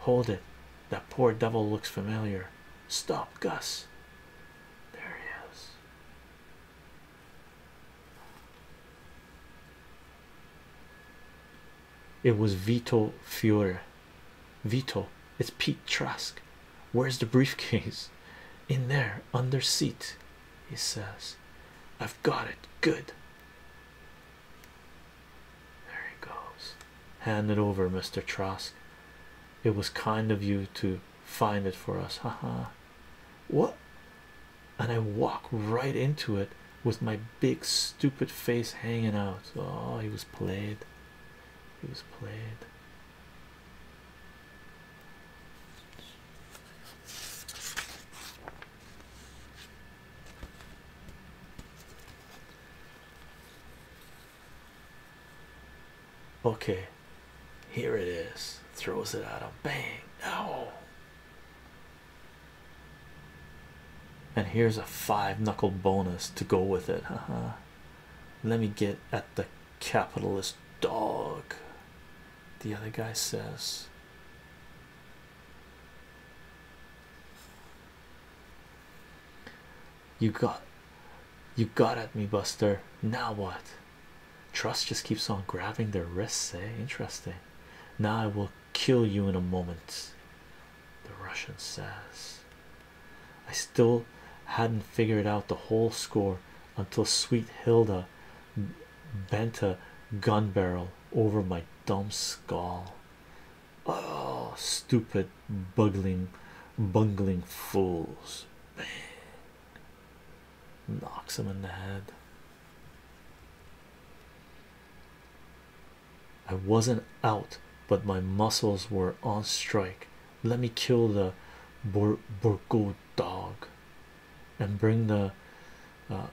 Hold it, that poor devil looks familiar. Stop, Gus. There he is. It was Vito Fiore. Vito, it's Pete Trask. Where's the briefcase? In there, under seat he says. I've got it. Good. There he goes. Hand it over, Mr. Trask. It was kind of you to find it for us. Ha ha. what? And I walk right into it with my big stupid face hanging out. Oh, he was played. He was played. Okay, here it is. Throws it out a Bang! No. And here's a five knuckle bonus to go with it. Uh Let me get at the capitalist dog. The other guy says. You got you got at me, Buster. Now what? Trust just keeps on grabbing their wrists, eh? Interesting. Now I will kill you in a moment. The Russian says, I still hadn't figured out the whole score until sweet Hilda bent a gun barrel over my dumb skull. Oh, stupid, buggling, bungling fools! Bang. Knocks him in the head. I wasn't out, but my muscles were on strike. Let me kill the Bur dog and bring the uh,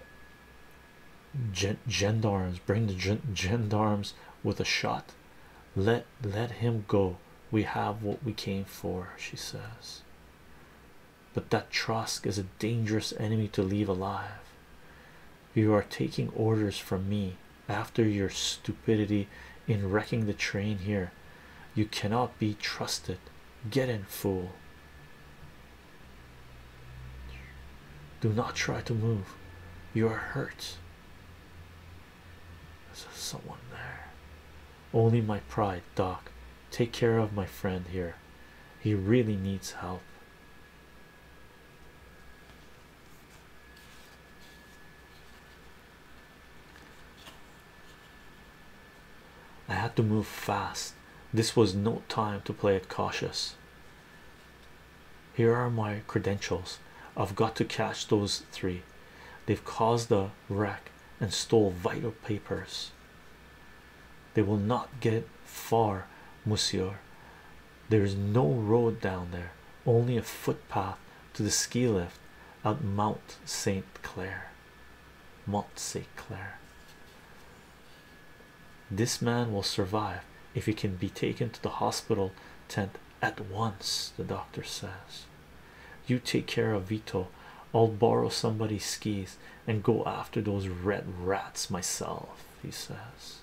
gendarmes bring the gendarmes with a shot let let him go we have what we came for she says but that Trask is a dangerous enemy to leave alive you are taking orders from me after your stupidity in wrecking the train here you cannot be trusted Get in, fool. Do not try to move. You are hurt. There's someone there. Only my pride, Doc. Take care of my friend here. He really needs help. I had to move fast. This was no time to play it cautious. Here are my credentials. I've got to catch those three. They've caused a wreck and stole vital papers. They will not get far, Monsieur. There is no road down there, only a footpath to the ski lift at Mount St. Clair. Mont St. Clair. This man will survive if he can be taken to the hospital tent at once, the doctor says. You take care of Vito, I'll borrow somebody's skis and go after those red rats myself, he says.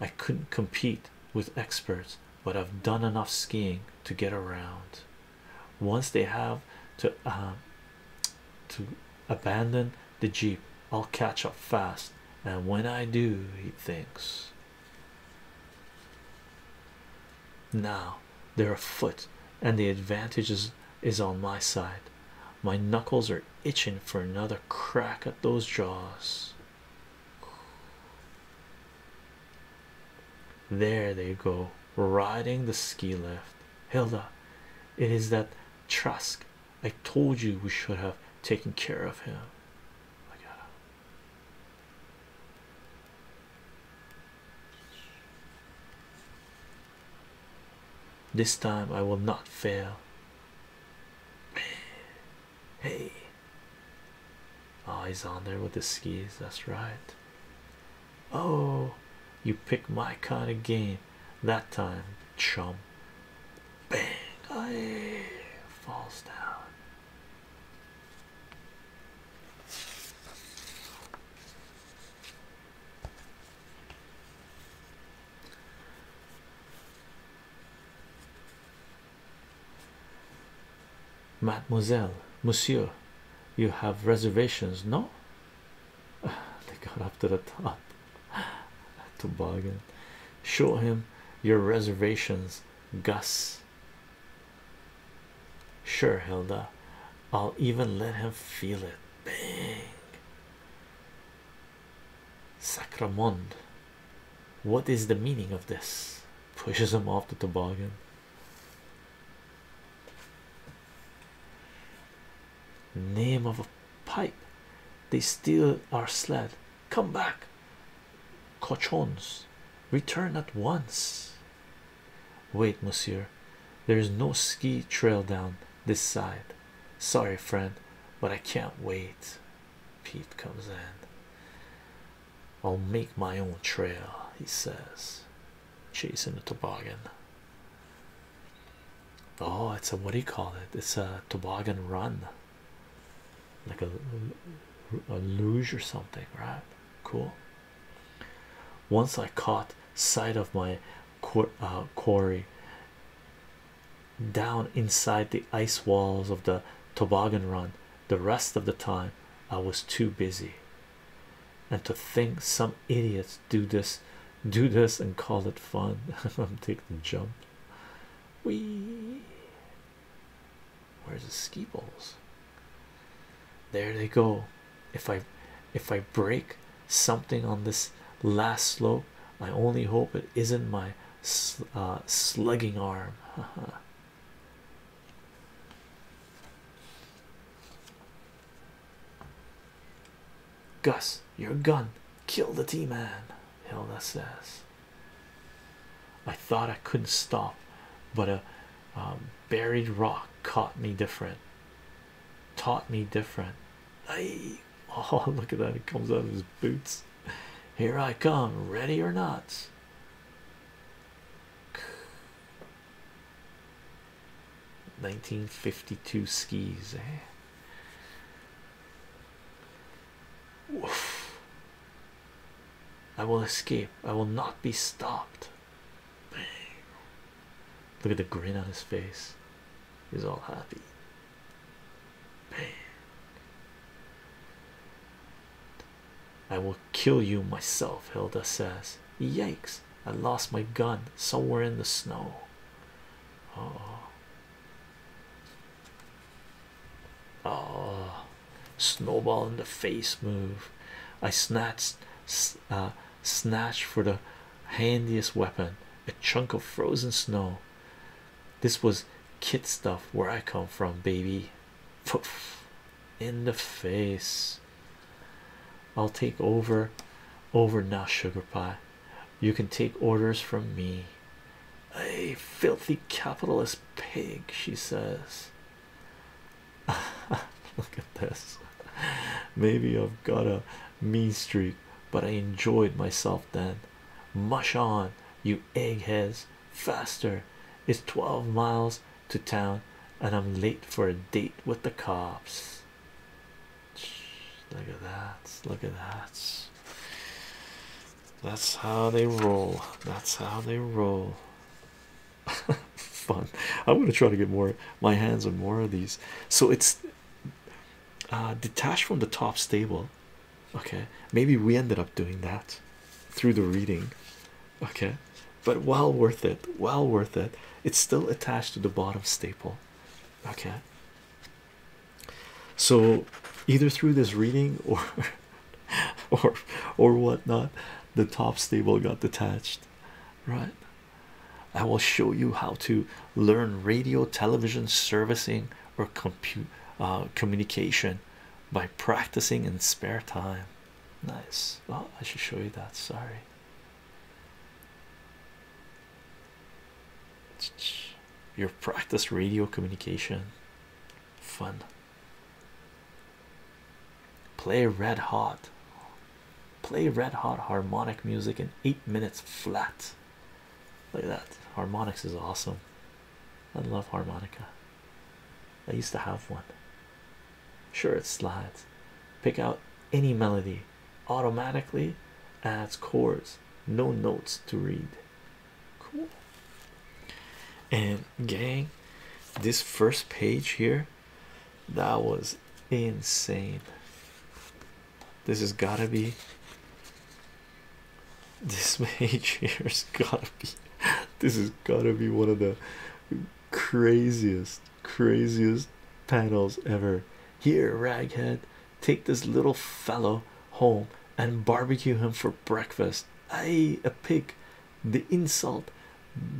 I couldn't compete with experts, but I've done enough skiing to get around once they have to uh, to abandon the jeep i'll catch up fast and when i do he thinks now they're afoot and the advantage is, is on my side my knuckles are itching for another crack at those jaws there they go riding the ski lift Hilda, it is that Trask. I told you we should have taken care of him. I This time I will not fail. Hey, oh, he's on there with the skis. That's right. Oh, you pick my kind of game that time, chum. Bang! Aye, falls down. Mademoiselle, Monsieur, you have reservations, no? (sighs) They got up to the top. (sighs) Toboggan. Show him your reservations, Gus. Sure, Hilda. I'll even let him feel it. Bang. Sacramond. What is the meaning of this? Pushes him off the toboggan. Name of a pipe, they steal our sled. Come back, cochons, return at once. Wait, monsieur, there is no ski trail down this side. Sorry, friend, but I can't wait. Pete comes in. I'll make my own trail, he says chasing the toboggan. Oh, it's a what do you call it? It's a toboggan run, like a, a luge or something, right? Cool. Once I caught sight of my uh, quarry down inside the ice walls of the toboggan run, the rest of the time I was too busy and to think some idiots do this do this and call it fun (laughs) i'm taking the jump we where's the ski poles? there they go if i if i break something on this last slope i only hope it isn't my uh, slugging arm (laughs) Gus, your gun, kill the T man, Hilda says. I thought I couldn't stop, but a um, buried rock caught me different, taught me different. Aye. (laughs) Oh, look at that! It comes out of his boots. Here I come, ready or not. 1952 skis, eh? I will escape, I will not be stopped. Bang. Look at the grin on his face, he's all happy. Bang. I will kill you myself, Hilda says. Yikes, I lost my gun somewhere in the snow. Oh, oh. snowball in the face move. I snatched, uh, snatched for the handiest weapon a chunk of frozen snow. This was kid stuff where I come from, baby. Poof in the face. I'll take over over now, sugar pie. You can take orders from me. A filthy capitalist pig, she says. (laughs) Look at this. Maybe I've got a mean streak, but I enjoyed myself then. Mush on, you eggheads, faster. It's 12 miles to town and I'm late for a date with the cops. Look at that. Look at that. That's how they roll. That's how they roll. (laughs) Fun. I'm gonna try to get more my hands on more of these. So it's uh, detached from the top stable. Okay, maybe we ended up doing that through the reading. Okay, but well worth it. Well worth it. It's still attached to the bottom staple. Okay. So either through this reading or (laughs) or or whatnot, the top staple got detached. Right. I will show you how to learn radio, television, servicing, or compute uh, communication by practicing in spare time. Nice. Oh, I should show you that. Sorry. Your practice radio communication fun. Play red hot, play red hot harmonic music in eight minutes flat. Look at that, harmonics is awesome. I love harmonica. I used to have one. Sure, it slides. Pick out any melody, automatically adds chords, no notes to read. Cool. And gang, this first page here, that was insane. This has gotta be. This (laughs) page here's gotta be. This is gotta be one of the craziest craziest panels ever. Here, raghead, take this little fellow home and barbecue him for breakfast. I a pig, the insult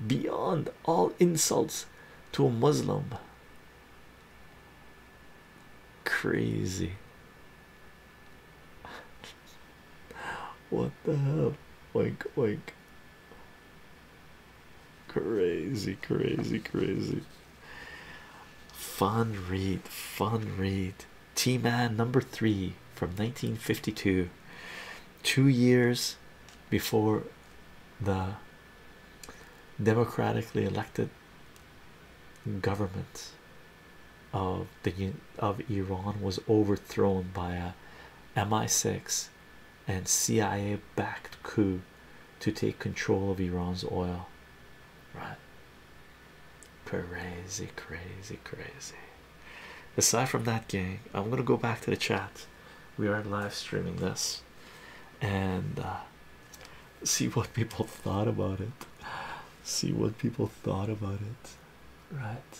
beyond all insults to a Muslim. Crazy. (laughs) what the hell? Oink, oink. Crazy, crazy, crazy. Fun read, fun read. T Man number three from 1952, two years before the democratically elected government of the of Iran was overthrown by a MI6 and CIA backed coup to take control of Iran's oil. Right? Crazy, crazy, crazy. Aside from that, gang, I'm gonna go back to the chat. We are live streaming this and uh, see what people thought about it. See what people thought about it, right?